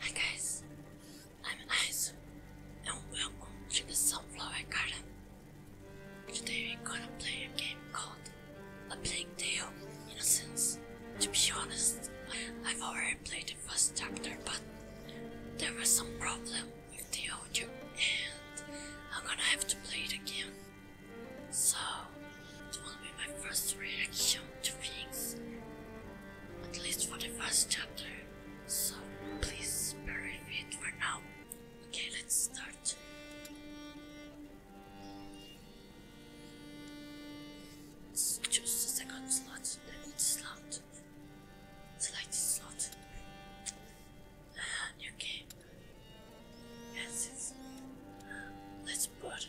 Hi guys, I'm Nice and welcome to the Sunflower Garden. Today we're gonna play a game called A Plague Tale Innocence. To be honest, I've already played the first chapter but there was some problem with the audio and I'm gonna have to play it again. So, this will be my first reaction to things at least for the first chapter. So please bury it for now. Okay, let's start. Let's second slot, then slot. slot. okay. Ah, yes, let's put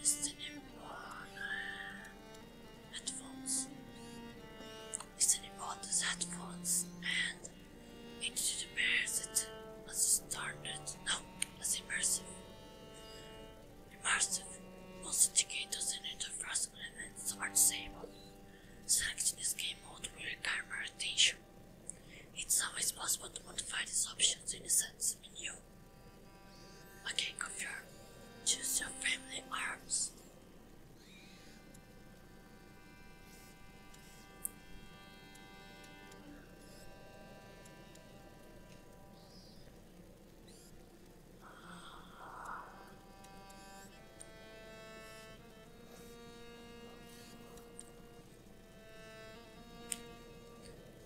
listening on uh, headphones, listening on these headphones, and it should immerse as started. No, as immersive. Immersive. Most indicators and interface elements are disabled. Selecting this game mode will require attention. It's always possible to modify these options in the settings menu. I can Choose your family arms.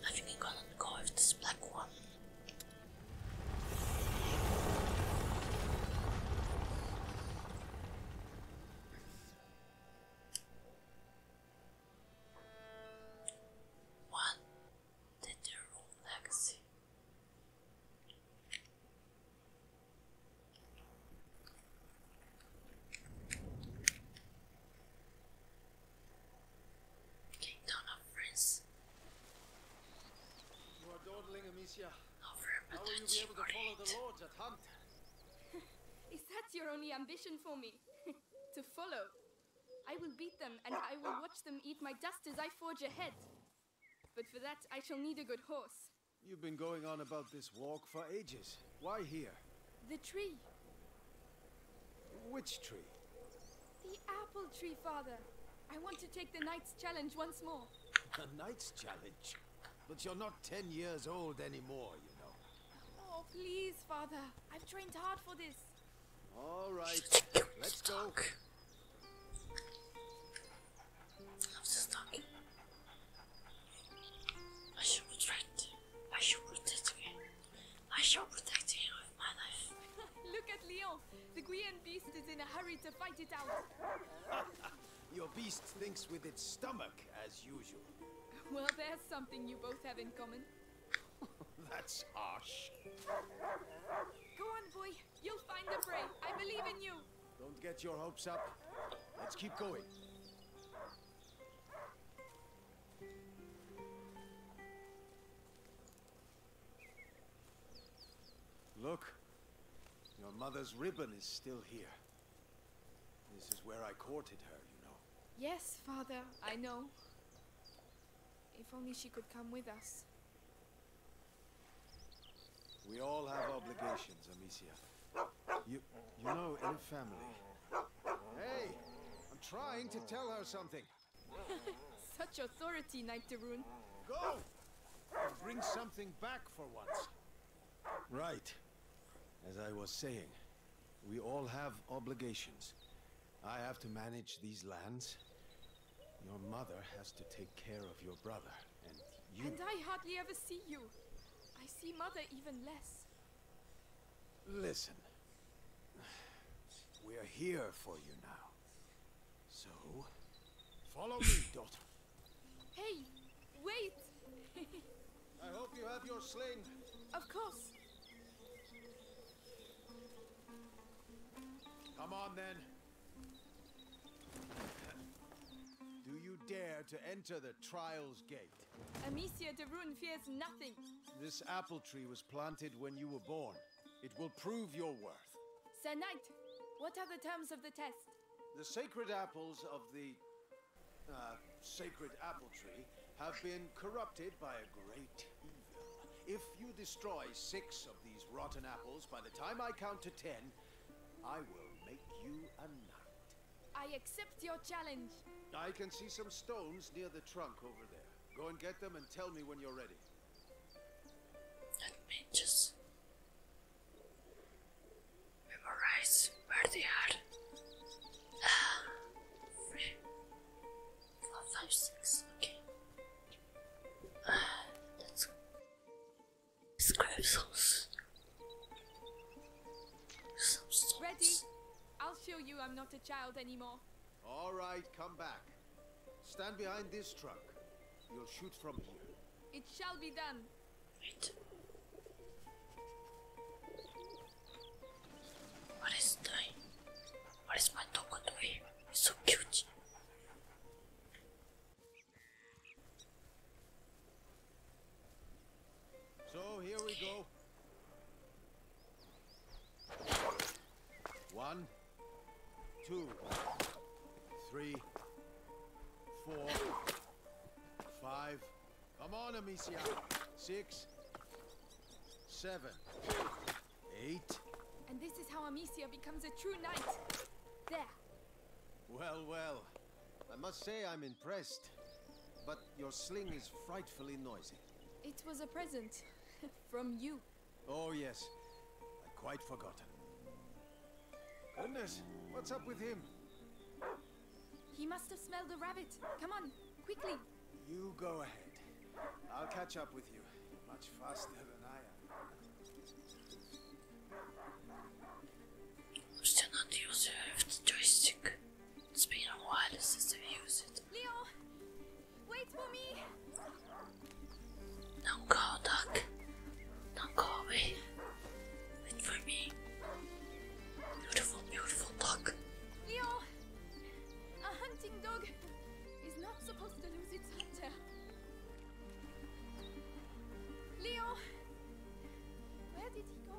I think I'm gonna go with this black one. What did the rule legacy? Kingdom of France. You are dawdling, Amicia. How will you be able to follow the lords at hunt? Is that your only ambition for me? to follow? I will beat them, and I will watch them eat my dust as I forge ahead. But for that, I shall need a good horse. You've been going on about this walk for ages. Why here? The tree. Which tree? The apple tree, father. I want to take the knight's challenge once more. The knight's challenge? But you're not ten years old anymore, you know. Oh, please, father. I've trained hard for this. All right, let's talk. I was just I should regret. I should regret I shall protect you with my life. Look at Leon. The Guian beast is in a hurry to fight it out. Your beast thinks with its stomach, as usual. Well, there's something you both have in common. That's harsh. Go on, boy. You'll find the prey. I believe in you. Don't get your hopes up. Let's keep going. Look, your mother's ribbon is still here. This is where I courted her, you know. Yes, father, I know. If only she could come with us. We all have obligations, Amicia. You, you know, in a family. Hey, I'm trying to tell her something. Such authority, Knight Darun. Go! And bring something back for once. Right. As I was saying, we all have obligations. I have to manage these lands. Your mother has to take care of your brother, and you... And I hardly ever see you. I see mother even less. Listen. We're here for you now. So, follow me, daughter. Hey, wait! I hope you have your sling. Of course. Come on, then. Do you dare to enter the Trials Gate? Amicia de Rune fears nothing. This apple tree was planted when you were born. It will prove your worth. Sir Knight, what are the terms of the test? The sacred apples of the uh, sacred apple tree have been corrupted by a great evil. If you destroy six of these rotten apples by the time I count to ten, I will make you a knight. I accept your challenge. I can see some stones near the trunk over there. Go and get them and tell me when you're ready. Let me just memorize where they are. Ah, three, four, five, six. Okay. Ah, let's grab some stones. Ready? I'll show you I'm not a child anymore. All right, come back. Stand behind this truck. You'll shoot from here. It shall be done. Wait. What is that? What is my dog doing? It's so cute. So here we go. One. Two, three, four, five. Come on, Amicia. Six, seven, eight. And this is how Amicia becomes a true knight. There. Well, well. I must say I'm impressed. But your sling is frightfully noisy. It was a present. from you. Oh, yes. I quite forgotten. Goodness, what's up with him? He must have smelled a rabbit. Come on, quickly. You go ahead. I'll catch up with you. You're much faster than I am. still not the user the joystick. It's been a while since I've used it. Leo! Wait for me. Don't go, duck. Don't go away. Wait for me. Beautiful, beautiful duck. Leo, a hunting dog is not supposed to lose its hunter. Leo, where did he go?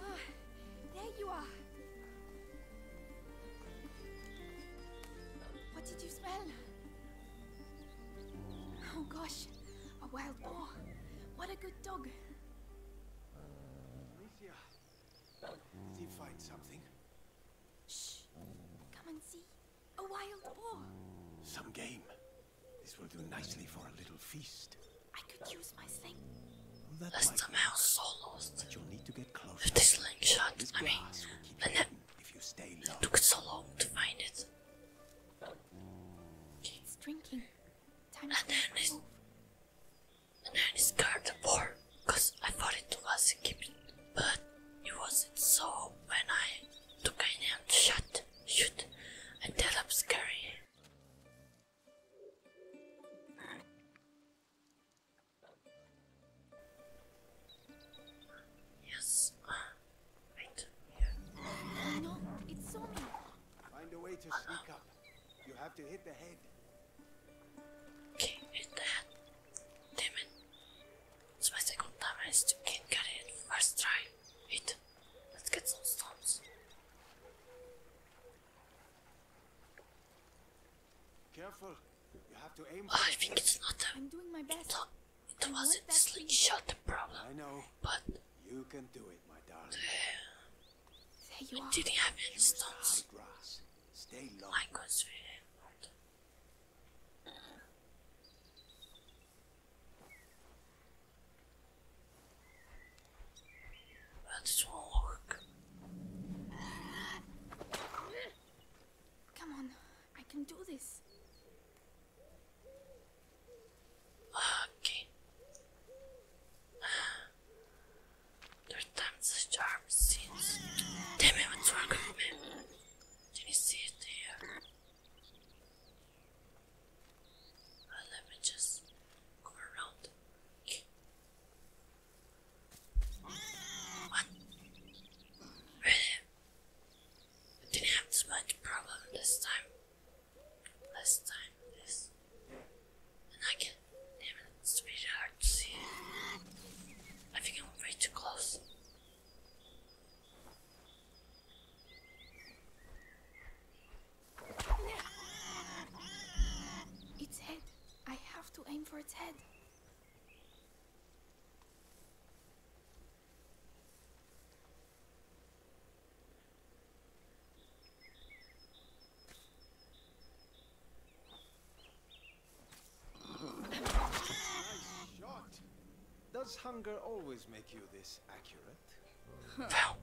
Ah. There you are. What did you smell? Oh gosh, a wild boar. What a good dog. Amicia, did he find something? Shh, come and see. A wild boar. Some game. This will do nicely for a little feast. I could use my sling. Well, that i somehow so lost. But you need to get close. With this slingshot, I mean, and if you stay low. took so long to find it. Okay. It's drinking. Time and then it's scared then it's carnivore, cause I thought it was a gibbon, but it wasn't. So when I took an shot, shoot, and ended up scaring Yes. Uh, no, it's so Find a way to sneak up. You have to hit the head. Okay, hit the head. Damn second time I still get it first try. Wait, let's get some stones. Careful. You have to aim I think it's not a, I'm doing my best. it wasn't the slingshot the problem. I know. But you can do it, my darling. The, didn't have any stones. My good's really but it will work. Come on, I can do this. Okay. Third time's a charm since. Damn it, what's wrong with me? Did you see it there? Right, let me just go around. What? Really? I didn't have too much problem this time. Last time this. And I can damn it, it's really hard to see. I think I'm way too close. Its head. I have to aim for its head. Nice shot. Does hunger always make you this accurate? Wow,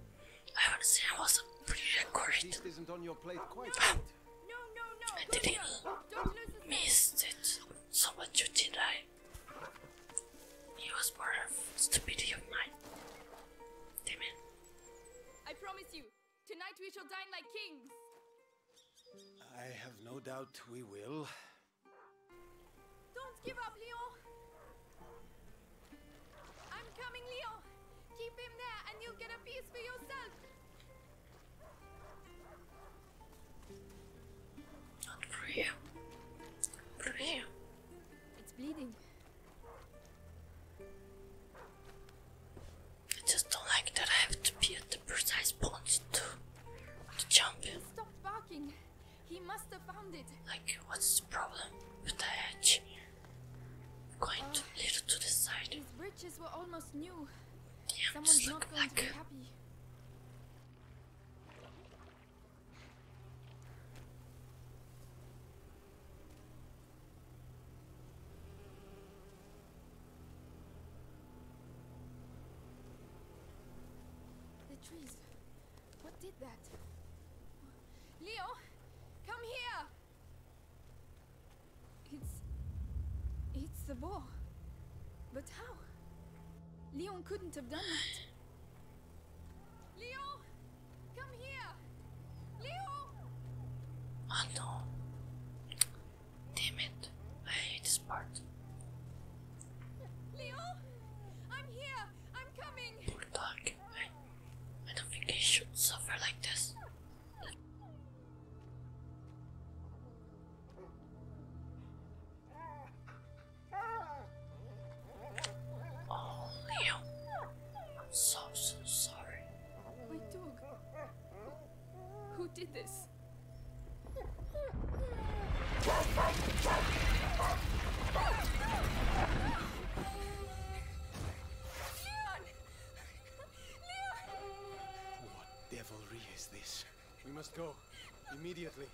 I understand was pretty accurate. This I didn't miss it so much, did I? It was more of stupidity of mine. Damn I promise you, tonight we shall dine like kings. I have no doubt we will. Don't give up, Leon. I'm coming, Leo. Keep him there and you'll get a piece for yourself. Not for you. For you. It's bleeding. I just don't like that I have to be at the precise point to, to jump in. He barking. He must have found it. Like, what's the problem with the edge? Going too little to the side. These bridges were almost new. Someone's not going like... to be happy. The trees. What did that? Leo, come here! It's... It's the ball. But how? Leon couldn't have done that. Leon! Come here! Leon! Oh no. Damn it. I hate this Leon! I'm here! I'm coming. Poor dog. I, don't think he should suffer like this. Oh, Leo. I'm so, so sorry. My dog. Who did this? Leon! Leon! What devilry is this? We must go. Immediately.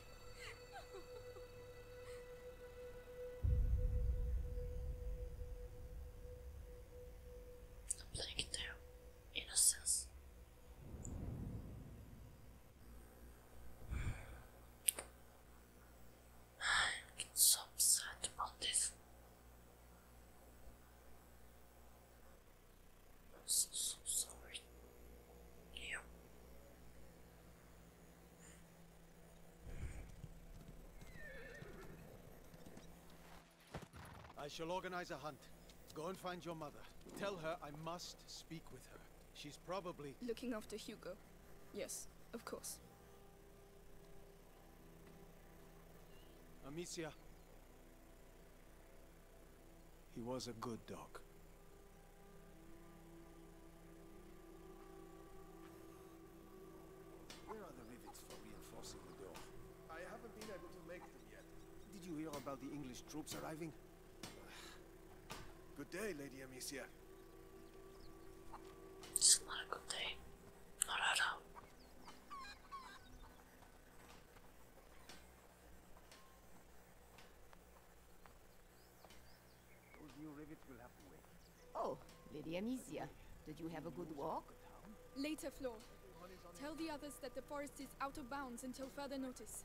I'm playing their innocence. I'm so upset about this. i so, so sorry. I shall organize a hunt. Go and find your mother. Tell her I must speak with her. She's probably... Looking after Hugo. Yes, of course. Amicia. He was a good dog. Where are the rivets for reinforcing the door? I haven't been able to make them yet. Did you hear about the English troops arriving? Good day, Lady Amicia. It's not a good day. Oh, Lady Amnesia, did you have a good walk? Later, Flo. Tell the others that the forest is out of bounds until further notice.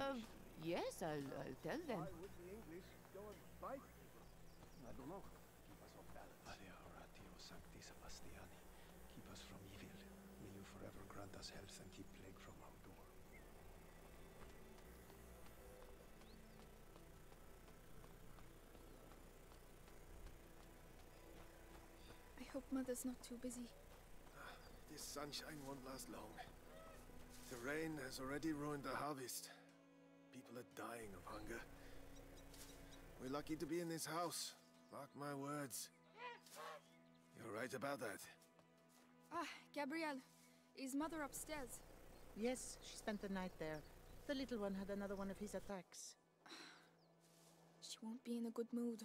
Um, yes, I'll, tell them. Keep us on balance. Maria Oratio Sancti Sebastiani, keep us from evil. May you forever grant us health and keep plague from our door. I hope Mother's not too busy. Ah, this sunshine won't last long. The rain has already ruined the harvest. People are dying of hunger. We're lucky to be in this house. Mark my words. You're right about that. Ah, Gabriel, Is mother upstairs? Yes, she spent the night there. The little one had another one of his attacks. she won't be in a good mood.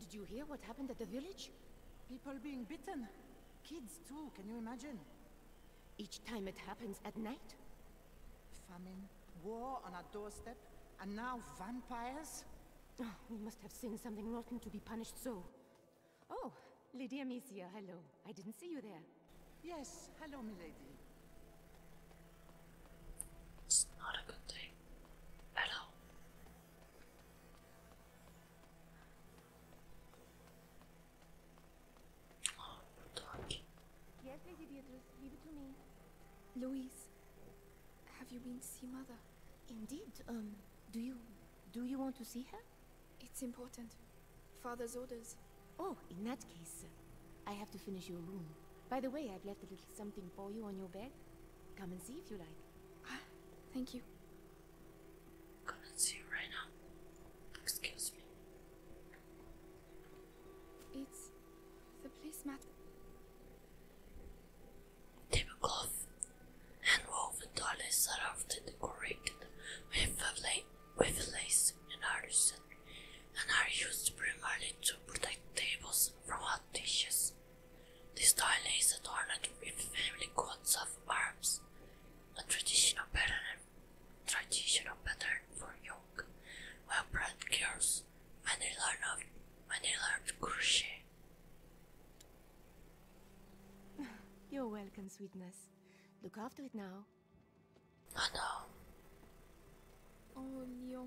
Did you hear what happened at the village? People being bitten. Kids too, can you imagine? Each time it happens at night? Famine, war on our doorstep, and now vampires? Oh, we must have seen something rotten to be punished so. Oh, Lady Amicia, hello. I didn't see you there. Yes, hello, milady. It's not a good thing oh, at Yes, Lady Beatrice, leave it to me. Louise, have you been to see Mother? Indeed. Um, do you... do you want to see her? It's important. Father's orders. Oh, in that case, I have to finish your room. By the way, I've left a little something for you on your bed. Come and see if you like. Ah, thank you. Come and see right now. Excuse me. It's the police placemat tablecloth and woven toilets are often decorated with, with lace and artisan and are used primarily to protect tables from hot dishes. This toilet is adorned with family coats of arms, a traditional pattern, traditional pattern for young, while bred girls when they learn of when they of crochet. You're welcome, sweetness. Look after it now. Oh no. Oh, Leo.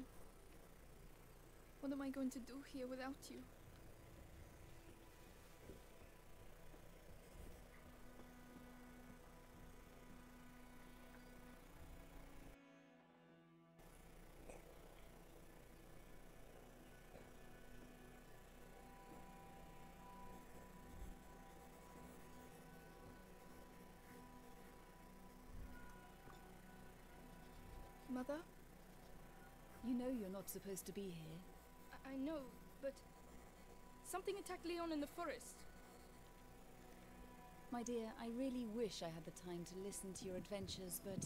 What am I going to do here without you? Mother? You know you're not supposed to be here. I, know, but... Something attacked Leon in the forest. My dear, I really wish I had the time to listen to your adventures, but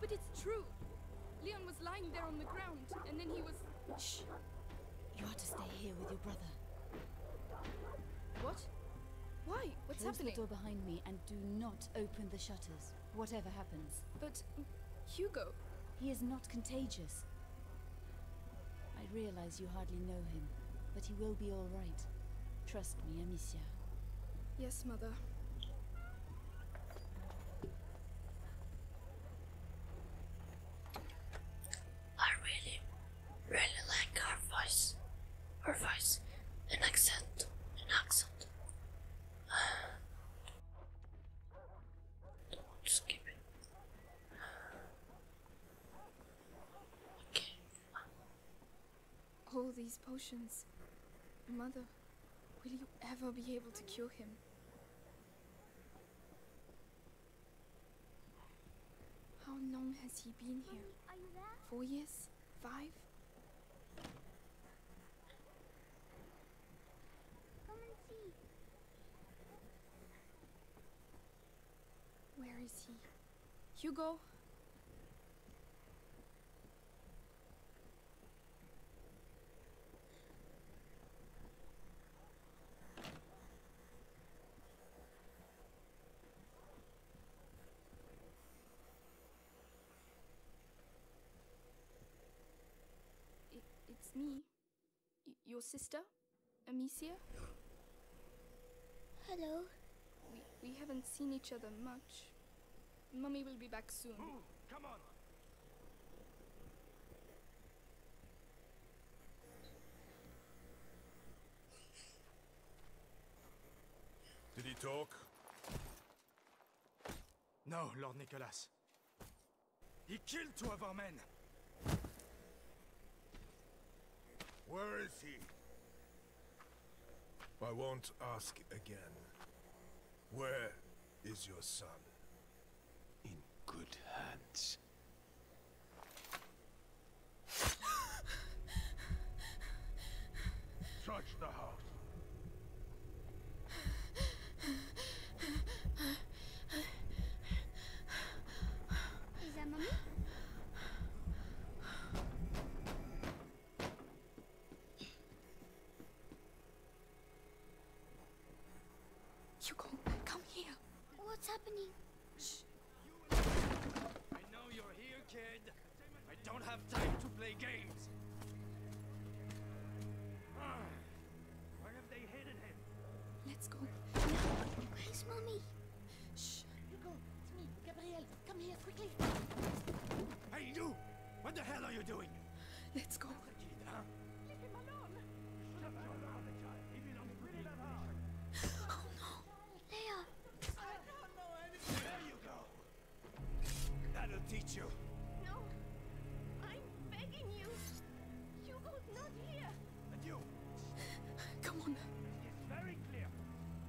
but it's true. Leon was lying there on the ground, and then he was... Shh. You are to stay here with your brother. What? Why? What's Close happening? the door behind me and do not open the shutters, whatever happens. But... Hugo... He is not contagious. I realize you hardly know him, but he will be all right. Trust me, Amicia. Yes, Mother. I really, really like her voice. Her voice. An accent. An accent. Don't skip it. All oh, these potions. Mother, will you ever be able to cure him? How long has he been here? Four years? Five? Where is he? Hugo? it's me your sister, Amicia? Hello. We, we haven't seen each other much. Mummy will be back soon. Move! Come on! Did he talk? No, Lord Nicholas. He killed two of our men! Where is he? I won't ask again. Where is your son? In good hands. Search the house. Hugo, come here. What's happening? Shh. I know you're here, kid. I don't have time to play games. Ah. Where have they hidden him? Let's go. Where's mommy? Shh. Hugo, it's me, Gabriel. Come here, quickly. Hey, you! What the hell are you doing? Let's go. Leave him alone. Oh, no. Leia. I don't know anything. There you go. That'll teach you. No. I'm begging you. Hugo's not here. And you! Come on. It's very clear.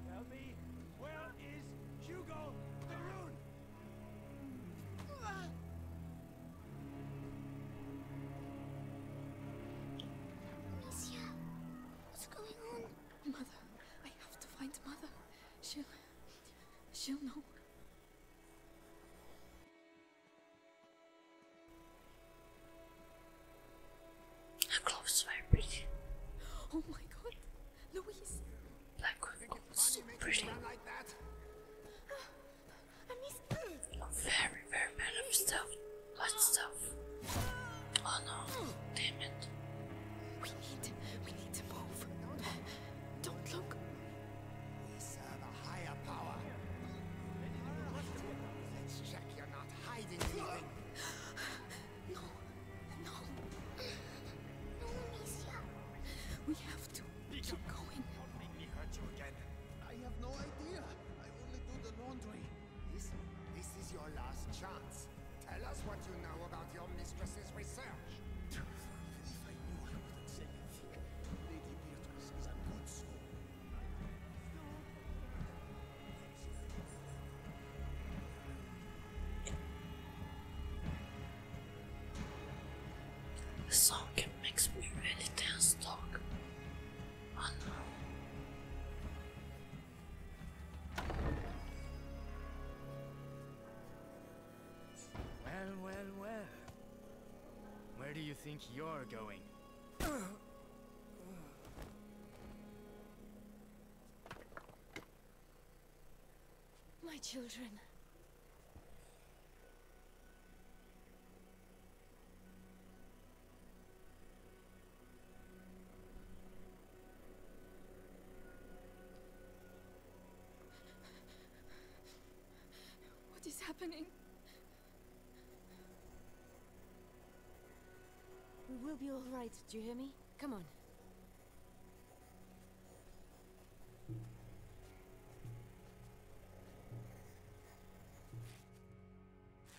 Tell me, where is Hugo the Rune? Monsieur, what's going on? Mother, I have to find Mother. She'll... she'll know. Her gloves were pretty. Oh my god, Louise! Black gloves, pretty. Like ah, I'm very, very bad at stuff. What stuff? Oh no, damn it. We need, we need to move. Don't look. We serve a higher power. Let's check your no. No. No, Amicia. We have to Lisa, keep going. Don't make me hurt you again. I have no idea. I only do the laundry. This, this is your last chance. Tell us what you know about your mistress's research. if I knew, I would say anything. Lady Beatrice is a good soul. The song makes me really tense talk. Well, well, well. Where do you think you're going? My children. What is happening? We will be alright, do you hear me? Come on.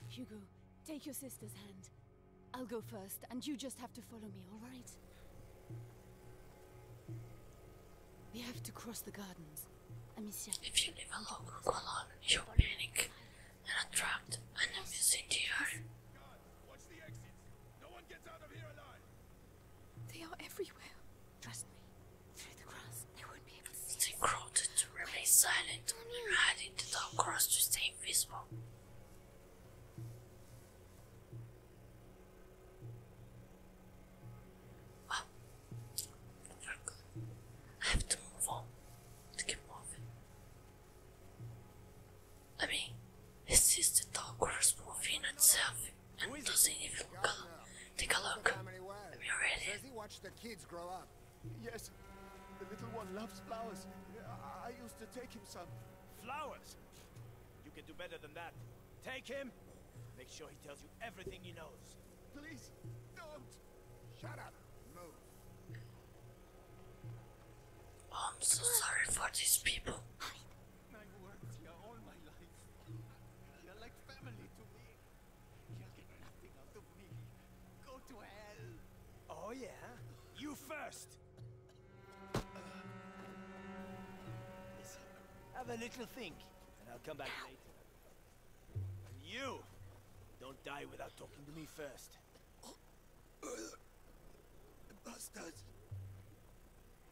Hugo, take your sister's hand. I'll go first, and you just have to follow me, alright? We have to cross the gardens. Amicia. If you live alone, along. you'll panic and attract enemies into your. God, watch the exits. here They are everywhere. Trust me. Through the grass, they will be able to They crawled to remain silent and hide in the grass to stay invisible. Well, very good. I have to move on to keep moving. I mean, this is the Dogwars movie in itself and doesn't even look Take a look. Have you read it? He watched the kids grow up. Yes, the little one loves flowers. I used to take him some. Flowers? You can do better than that. Take him. Make sure he tells you everything he knows. Please, don't. Shut up. Move. Oh, I'm so sorry for these people. I worked here all my life. You're like family to me. You'll get nothing out of me. Go to hell. Oh yeah? You first. Listen, have a little think, and I'll come back later. And you! Don't die without talking to me first. Bastards!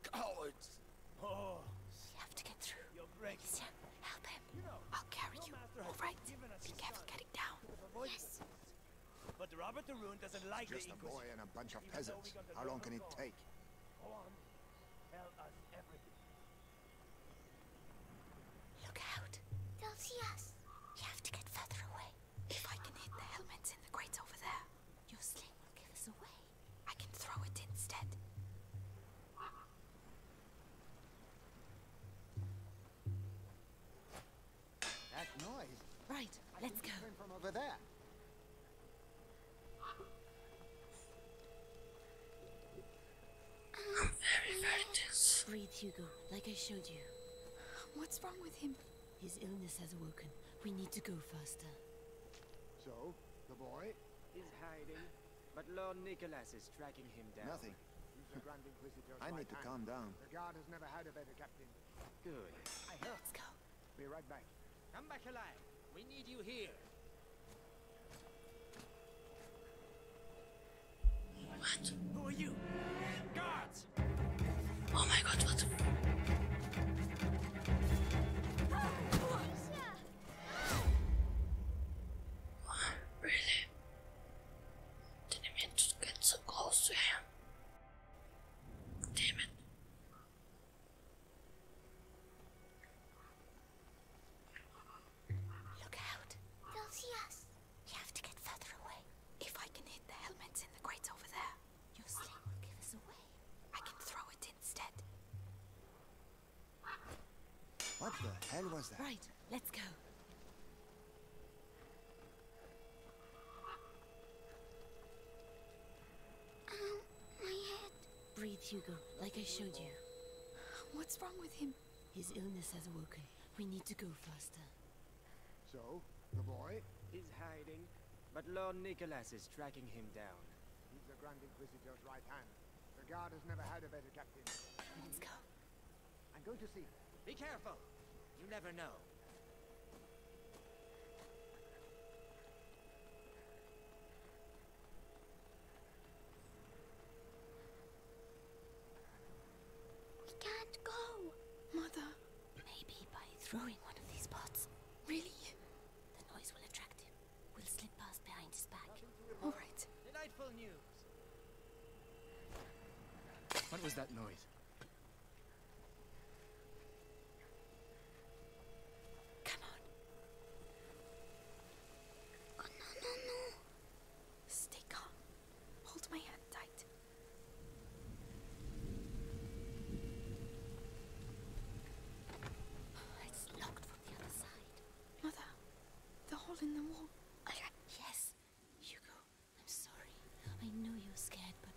Cowards! Oh, we have to get through. You're help him. I'll carry you. All right. Be careful getting down. Yes. But Robert the Rune doesn't like it's a boy and a bunch of peasants. How long can it take? Go on. Tell us everything. Look out. They'll see us. You have to get further away. If I can hit the helmets in the crate over there, your sling will give us away. I can throw it instead. That noise. Right, let's go. From over there i Breathe, Hugo, like I showed you. What's wrong with him? His illness has awoken. We need to go faster. So, the boy? is hiding, but Lord Nicholas is tracking him down. Nothing. I need to calm down. The guard has never had a better captain. Good. I heard. Let's go. Be right back. Come back alive. We need you here. What? Who are you? Guards! Oh my god, what? really? Didn't mean to get so close to him. Damn it. Look out. They'll see us. You have to get further away. If I can hit the helmets in the crate over there, your sling will give us away. I can throw it instead. What the hell was that? Right, let's go. Um, my head. Breathe, Hugo, like I showed you. What's wrong with him? His illness has awoken. We need to go faster. So, the boy? is hiding, but Lord Nicholas is tracking him down. He's the Grand Inquisitor's right hand. The guard has never had a better captain. Let's go. I'm going to see. him. Be careful! You never know. We can't go. Mother. Maybe by throwing one of these pots. Really? The noise will attract him. We'll slip past behind his back. All right. Delightful news. What was that noise? Come on. Oh, no, no, no. Stay calm. Hold my hand tight. It's locked from the other side. Mother, the hole in the wall. Yes, Hugo, I'm sorry. I know you're scared, but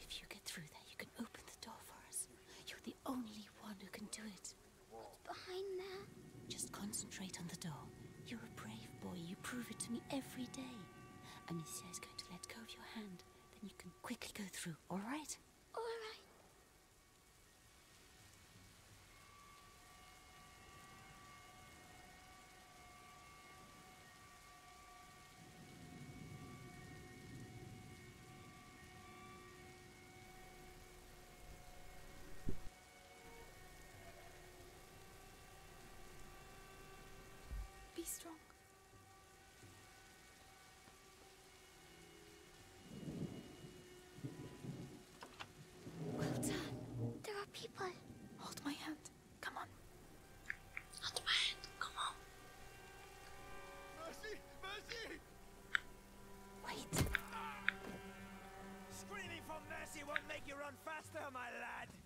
if you get through there, you can open the door for us. You're the only one who can do it. What's behind there? Just concentrate on the door. You're a brave boy. You prove it to me every day. Amicia is going to let go of your hand. Then you can quickly go through, all right? All right. Be strong. Well done. There are people. Hold my hand. Come on. Hold my hand. Come on. Mercy! Mercy! Wait. Ah! Screaming for mercy won't make you run faster, my lad.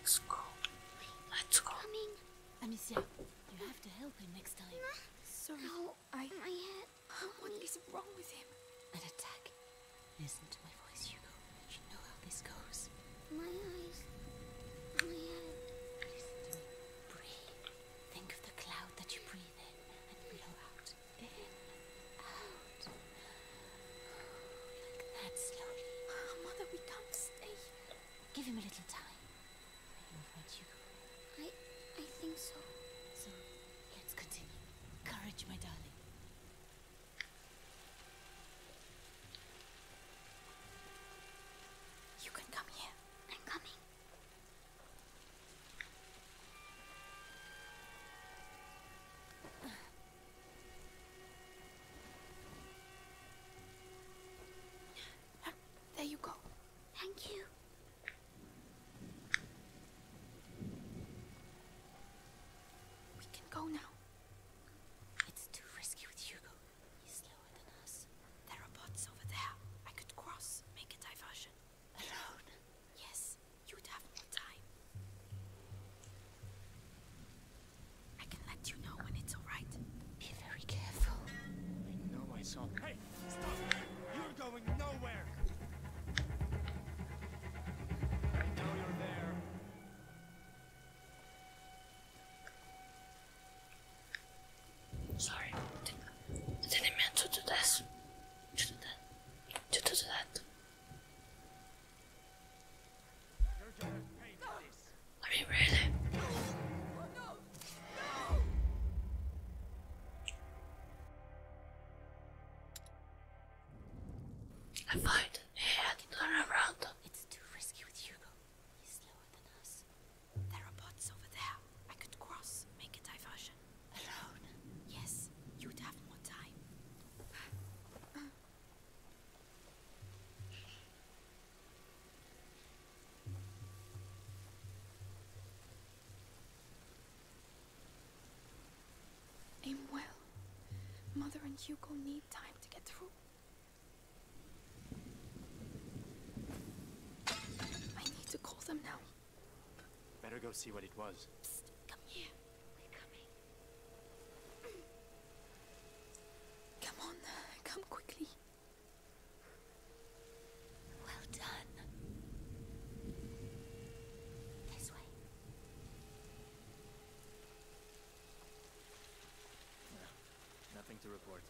Let's go. Let's go. Coming. Amicia, you have to help him next time. Sorry. No, I... My head. What is wrong with him? An attack. Listen to my voice, Hugo. You know how this goes. My eyes. My head. Listen to me. Breathe. Think of the cloud that you breathe in and blow out. In. Out. Like that, slowly. Ah, mother, we can't stay Give him a little time. I, I think so. So, let's continue. Courage, my darling. You can come here. I'm coming. There you go. Thank you. We can go now. It's too risky with Hugo. He's slower than us. There are bots over there. I could cross, make a diversion. Alone? Yes, you'd have more time. I can let you know when it's alright. Be very careful. I know I Hey! Stop! You're going nowhere! I know you're there. Sorry, I didn't mean to do this. To do that. To do that. You're gonna for this. I mean, really? Oh, no. No. I find turn around. It's too risky with Hugo. He's slower than us. There are bots over there. I could cross, make a diversion. Alone? Yes, you'd have more time. Aim well. Mother and Hugo need time to get through. I need to call them now. Better go see what it was. come here. We're coming. come on, uh, come quickly. Well done. This way. nothing to report.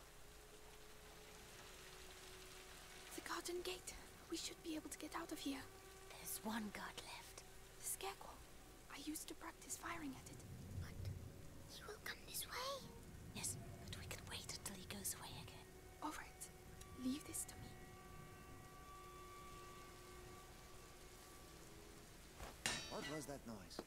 The garden gate. We should be able to get out of here. There's one guard left. The scarecrow. I used to practice firing at it. He will come this way. Yes, but we can wait until he goes away again. Alright, leave this to me. What was that noise?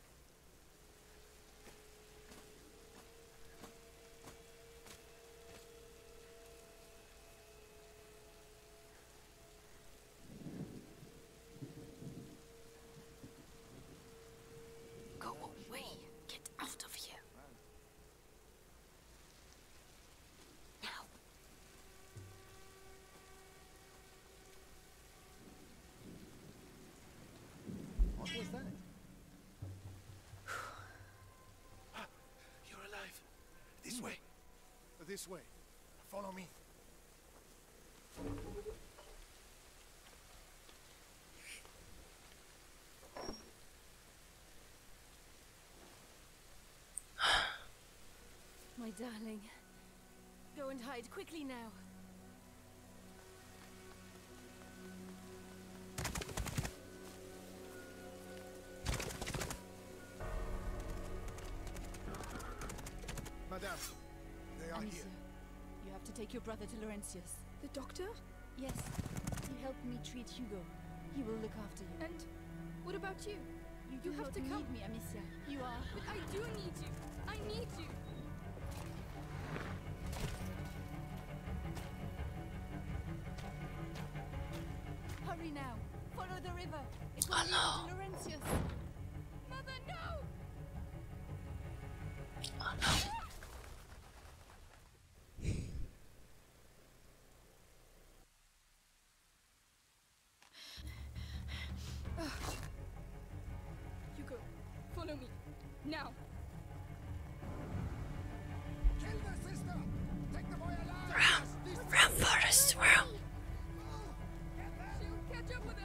Go away! Get out of here! Now! What was that? You're alive! This way! This way. Follow me. My darling. Go and hide quickly now. Madame. They You have to take your brother to Laurentius. The doctor? Yes. He helped me treat Hugo. He will look after you. And what about you? You, have to come. me, Amicia. You are. But I do need you. I need you. Hurry now. Follow the river. It will lead to Laurentius. Mother, no! Oh no. Hugo, follow me. Now. Kill the sister! Take the boy alive!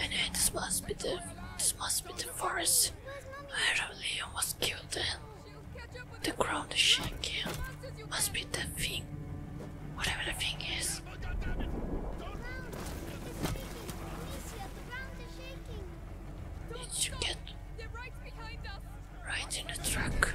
And this must be the this must be the forest where Leon was killed the ground is shaking must be the thing whatever the thing is. Did you get right in the truck?